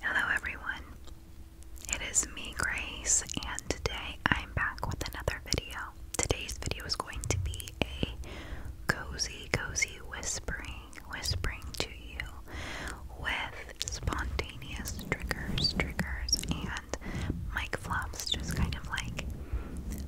Hello, everyone. It is me, Grace, and today I'm back with another video. Today's video is going to be a cozy, cozy whispering, whispering to you with spontaneous triggers, triggers, and mic flops, just kind of like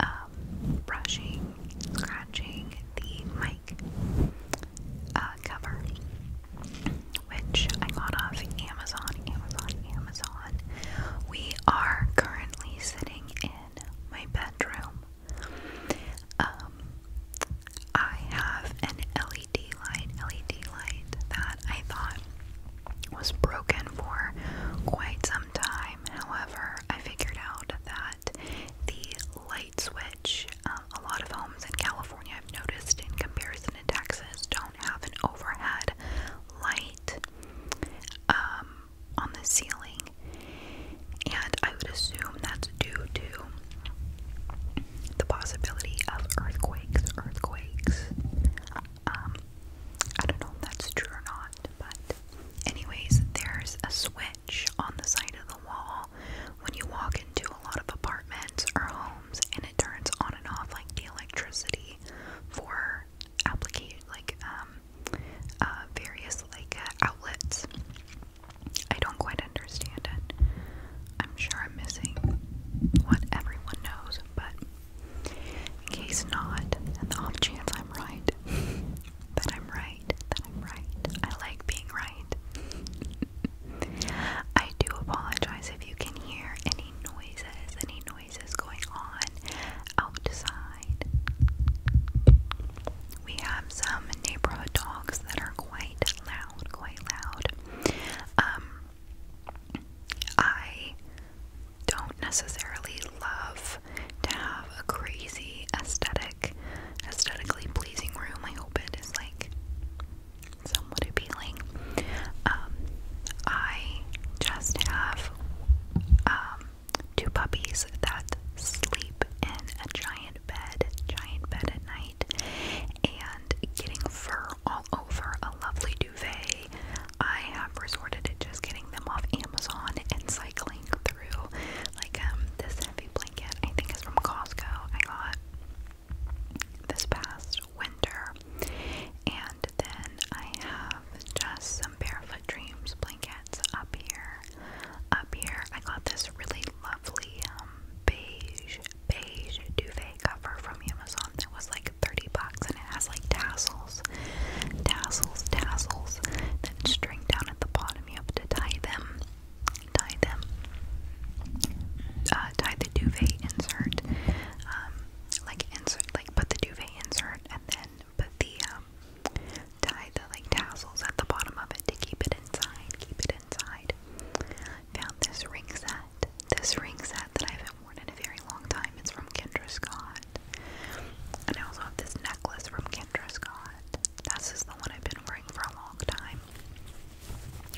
um, um, brushing, scratching the mic uh, cover, which I got off Amazon, Amazon, Amazon. We are currently sitting in my bedroom. Um, I have an LED light, LED light that I thought was broken for quite some time. However, I figured out that at the light switch. Um, a lot of homes in California, I've noticed, in comparison to Texas, don't have an overhead light um, on the ceiling. And I would assume that's due to the possibility of earthquakes. Earthquakes. Um, I don't know if that's true or not. But, anyways, there's a switch on the side of the wall when you walk into a lot of apartments or homes, and it turns on and off like the electricity for application, like um, uh, various like uh, outlets. I don't quite understand it. I'm sure I'm missing what everyone knows, but in case not, and the off chance I'm right, that I'm right that I'm right. I like being right. I do apologize if you can hear any noises, any noises going on outside. We have some neighborhood dogs that are quite loud, quite loud. Um, I don't necessarily love to have a crazy aesthetic, aesthetically pleasing room. I hope it is like somewhat appealing. Um, I just have um, two puppies that sleep in a giant bed, giant bed at night, and getting fur all over a lovely duvet. I have resorted to just getting them off Amazon and cycling through. Like um, this heavy blanket, I think is from Costco. I got this past winter, and then I have just some Barefoot Dreams blankets up here. Up here, I got this really lovely um, beige beige duvet cover from Amazon that was like 30 bucks, and it has like tassels tassels, tassels, then string down at the bottom. You have to tie them, tie them, uh, tie the duvet insert, um, like insert, like put the duvet insert, and then put the um, tie the like tassels at the bottom of it to keep it inside. Keep it inside. Found this ring set. This ring set that I haven't worn in a very long time. It's from Kendra Scott. And I also have this necklace from Kendra Kendra Scott. This is the one I've been wearing for a long time.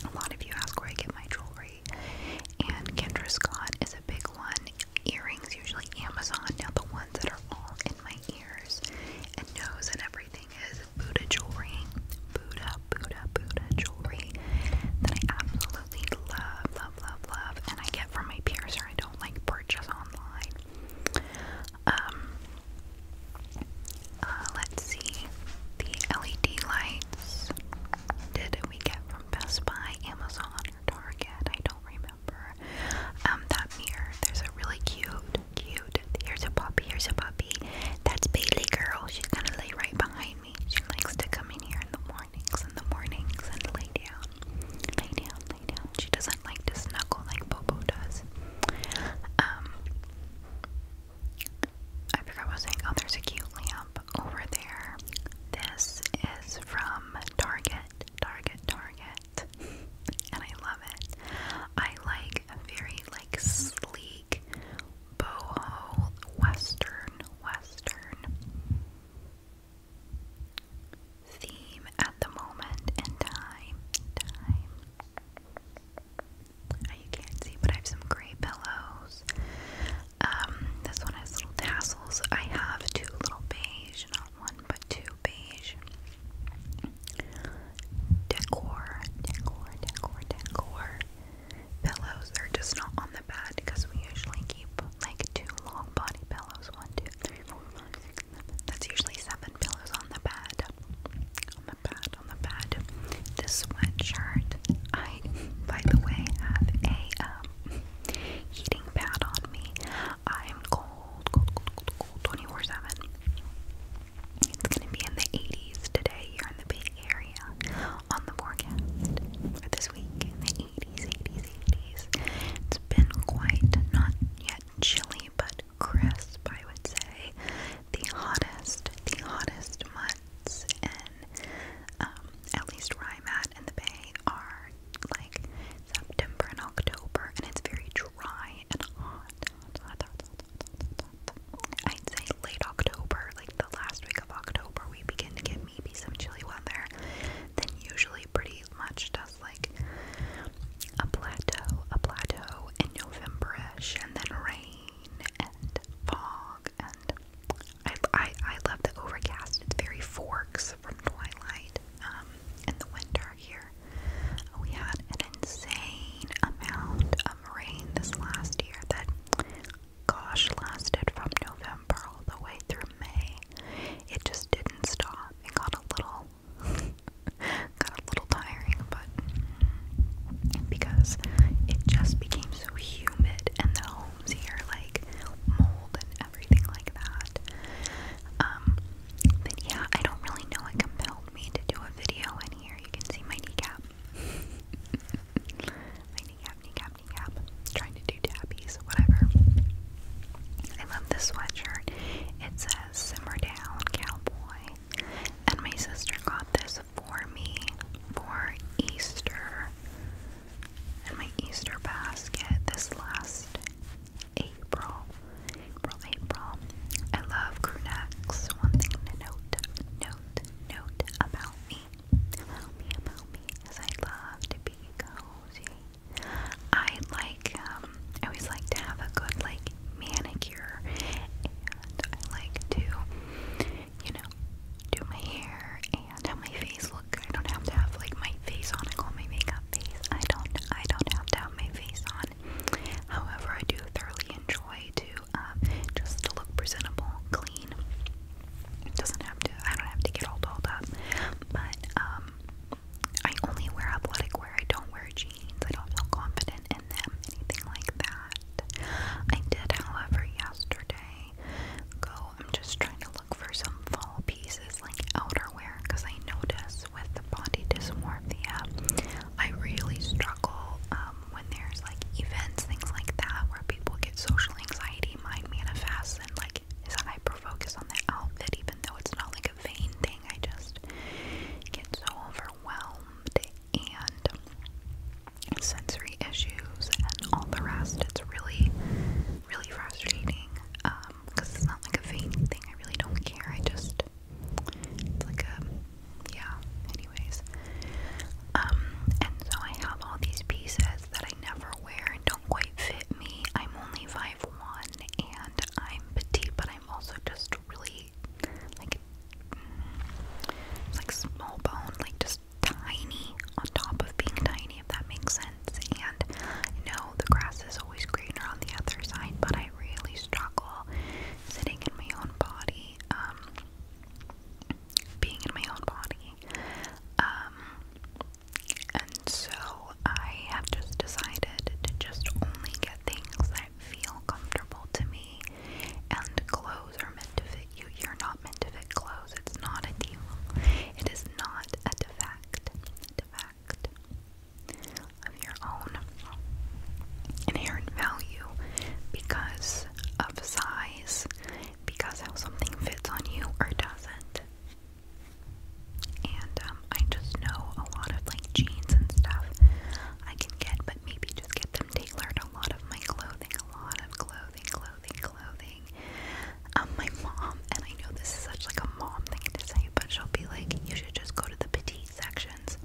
A lot of you ask where I get my jewelry, and Kendra Scott is a big one. Earrings, usually Amazon. Now, the ones that are all in my ears and nose and everything is Buddha jewelry. Buddha, Buddha, Buddha jewelry that I absolutely love, love, love, love. And I get from my piercer. I don't like purchase online. Um, uh, let's see. The LED lights. Did we get from Best Buy, Amazon, or Target? I don't remember. Um, that mirror. There's a really cute, cute. Here's a puppy. Here's a puppy. That's Bailey Girl. She's gonna lay right behind me. She likes to come in here in the mornings, in the mornings, and lay down Lay down, lay down. She doesn't like to snuggle like Bobo does. Um, I forgot what I was saying. Oh, there's a cute lamp over there. This is from Target, Target, Target, and I love it. I like a very like sleek boho western, western theme at the moment in time. Time. you can't see, but I have some gray pillows. Um, this one has little tassels. I have two little beige, not one but two beige. Decor, decor, decor, decor. Pillows, they're just not on the bed because we usually keep like two long body pillows, one, two, that's usually seven pillows on the bed. On the bed, on the bed. This sweatshirt, I, by the way, have a um, heating pad on me. I'm cold, cold, cold, cold, cold, 24 7. It's gonna be in the 80s today here in the Bay Area on the forecast for this week the 80s, 80s, 80s been quite not yet chilly, but crisp, I would say. The hottest, the hottest months in um, at least where I'm at in the Bay are like September and October, and it's very dry and hot. I'd say late October, like the last week of October, we begin to get maybe some chilly weather, then usually pretty much just like a plateau, a plateau in Novemberish, and then rain and fog, and I, I, love the overcast. It's very forks from twilight. Um, in the winter here, we had an insane amount of rain this last year that, gosh, lasted from November all the way through May. It just did not did stop. It got a little got a little tiring, but because it just became so humid and the homes here like mold and everything like that. Um yeah, I don't really know what compelled me to do a video in here. You can see my kneecap. my kneecap, kneecap tapping app, trying to do tabbies, whatever. I love this sweatshirt. It says Simmer Down Cowboy. And my sister got this for me for Easter. And my Easter basket this last April. April, April. I love crew One thing to note, note, note about me. About me, about me, is I love to be cozy. I like, um, I always like to have a good, like, manicure, and I like to, you know, do my hair and have my face look. I don't have to have, like, my face on. I call my makeup face. I don't, I don't have to have my face on. However, I do thoroughly enjoy to, um, just look presentable, clean, it doesn't have to, I don't have to get all dolled up. But, um, I only wear athletic wear. I don't wear jeans. I don't feel confident in them, anything like that. I did, however, yesterday go, I'm just trying to look for some fall pieces like outerwear because I notice with the body dysmorphia, I really struggle um, when there's like events, things like that, where people get social anxiety. mind manifests and like is a on the outfit, even though it's not like a vain thing. I just get so overwhelmed and sensory issues and all the rest. It's really, really frustrating because um, it's not like a vain thing. I really don't care. I just it's like a yeah. Anyways, um, and so I have all these pieces that I never wear and don't quite fit me. I'm only five one, and I'm petite, but I'm also just really like mm, like small bone, like just tiny on top of being tiny, if that makes sense. And no, the grass is always greener on the other side, but I really struggle sitting in my own body, um, being in my own body. Um, and so I have just decided to just only get things that feel comfortable to me. And clothes are meant to fit you. You're not meant to fit clothes. It's not a deal. It is not a defect. A defect of your own inherent value because of size, because how something fits on you or doesn't. And um, I just know a lot of like jeans and stuff I can get, but maybe just get them tailored. A lot of my clothing, a lot of clothing, clothing, clothing. Um, my mom, and I know this is such like a mom thing to say, but she'll be like, you should just go to the petite sections.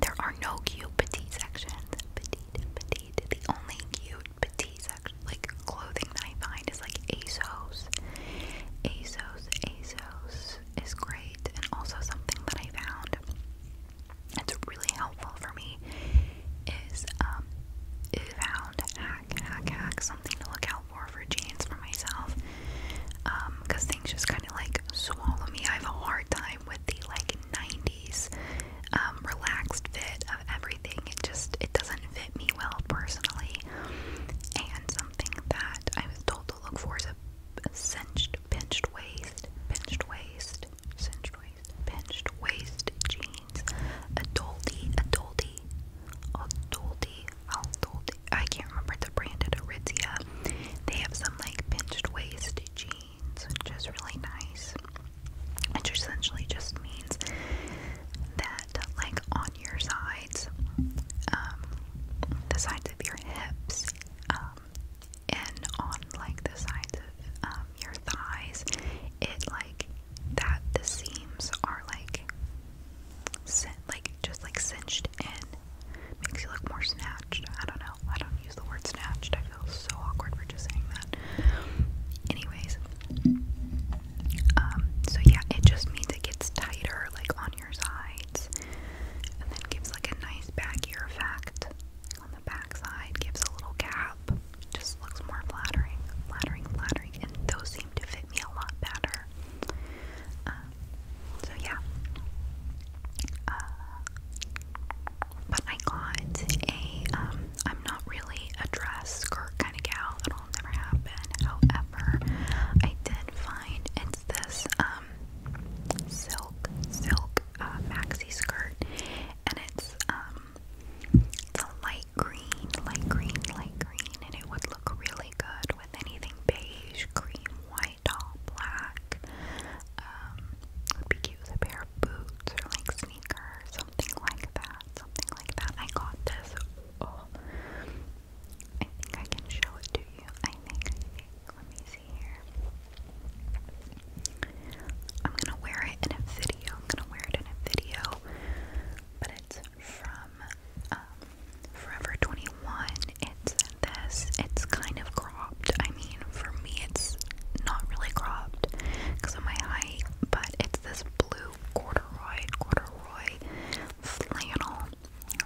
There are no cute petite sections. Petite, petite. The only cute petite section, like clothing that I find is like ASOS. ASOS, ASOS is great, and also something that I found that's really helpful for me is um, I found hack, hack, hack, something to look out for for jeans for myself. Um, cause things just kind of like swallow me. I have a hard time with the like 90s um, relaxed fit of everything it just it doesn't fit me well personally. And something that I was told to look for is a cinched, pinched waist, pinched waist, cinched waist, pinched waist jeans. Adulty, adulty, adulty, adulty. I can't remember the brand at Arizia. They have some like pinched waist jeans, which is really nice which essentially just means that, like on your sides, um, the sides of your hips, um, and on like the sides of um, your thighs, it like that the seams are like like just like cinched in, makes you look more snatched. I don't know. I don't use the word snatched. I feel so awkward for just saying that. Anyways, um, so yeah, it just means it gets tighter, like on your sides, and then gives like a nice back effect on the back Gives a little gap, just looks more flattering, flattering, flattering, and those seem to fit me a lot better. Um, so yeah. Uh, but I got a, um, I'm not really a dress skirt kind of gal, it'll never happen. However, I did find it's this, um, silk, silk, uh, maxi skirt, and it's, um, it's a light green, light green, light green, and it would look really good with anything beige, cream, white, all black. Um, it would be cute with a pair of boots or like sneaker, something like that, something like that. I got this. Oh. I think I can show it to you. I think, I think. Let me see here. I'm gonna wear it in a video. I'm gonna wear it in a video, but it's from um, Forever 21. It's this. It's kind of cropped. I mean, for me, it's not really cropped because of my height but it's this blue corduroy, corduroy flannel.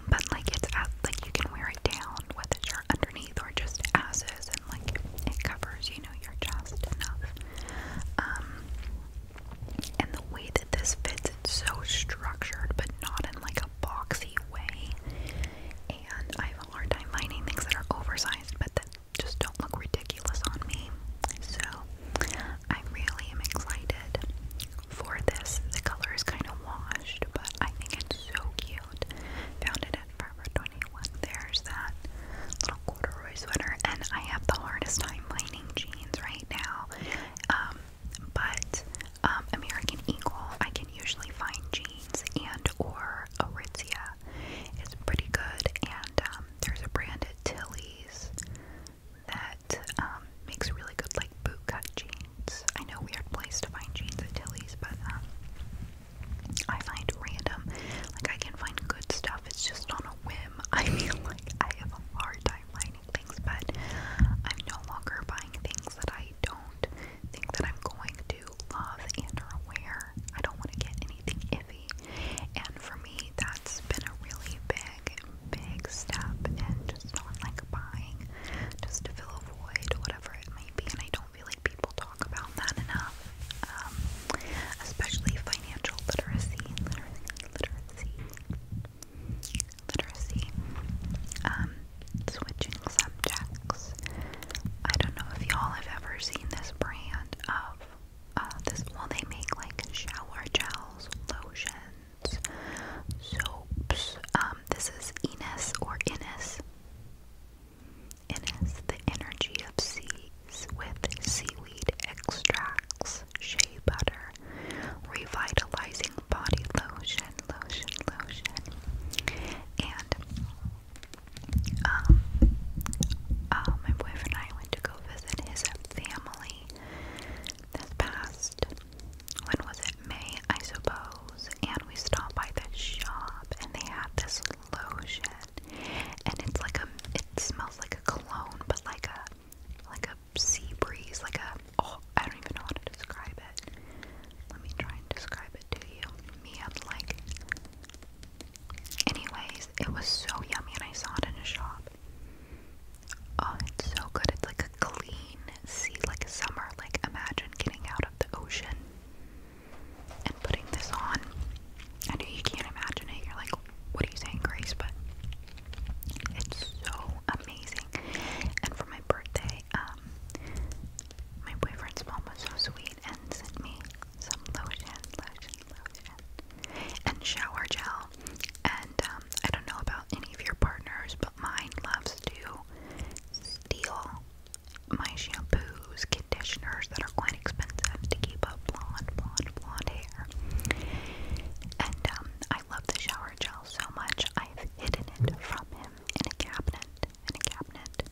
But like it's at, like you can wear it down with a shirt underneath or just as is, and like it covers you know your chest enough. Um, and the way that this fits, it's so structured, but not in like a boxy way. And I have a hard time finding things that are oversized, but that just don't look ridiculous on me. So I really am excited for this. The color is kind of washed, but I think it's so cute. Found it at Forever 21. There's that little corduroy sweater, and I have the hardest time finding jeans right now. Um, but um, American Eagle, I can usually find jeans and or Aritzia it's pretty good, and um, there's a brand at Tilly's that um, makes really good like bootcut jeans. I know weird place to find jeans at Tilly's, but um, I find random like I can find good stuff. It's just on a whim. I feel like I have a hard time finding things, but I'm no longer buying things that I don't think that I'm going to love and or wear. I don't want to get anything iffy. And for me, that's been a really big, big step in just not like buying just to fill a void, whatever it might be. And I don't feel like people talk about that enough, um, especially financial literacy, literacy, literacy, literacy. Um, switching subjects. I don't know if y'all have ever seen this brand of uh, this. Well, they make like shower gels, lotions, soaps. Um, this is Ines or Innis. Innis, the energy of seas with seaweed extracts, shea butter, revitalizing body lotion, lotion, lotion, and um, uh, my boyfriend and I went to go visit his family this past, when was it? May, I suppose. And we stopped by the shop and they had this lotion. And it's like a, it smells like a cologne, but like a, like a sea breeze, like a, oh, I don't even know how to describe it. Let me try and describe it to you. Me, I'm like, Anyways, it was so yummy and I saw it in a shop. Oh, it's so good. It's like a clean sea, like summer. Like, imagine getting out of the ocean and putting this on. I know you can't imagine it. You're like, what are you saying, Grace? But it's so amazing. And for my birthday, um, my boyfriend's mom was so sweet and sent me some lotion, lotion, lotion, and shower gel. And um, I don't know about any of your partners, but mine loves to steal my shampoos, conditioners that are quite expensive to keep up blonde, blonde, blonde hair. And um, I love the shower gel so much, I've hidden it from him in a cabinet, in a cabinet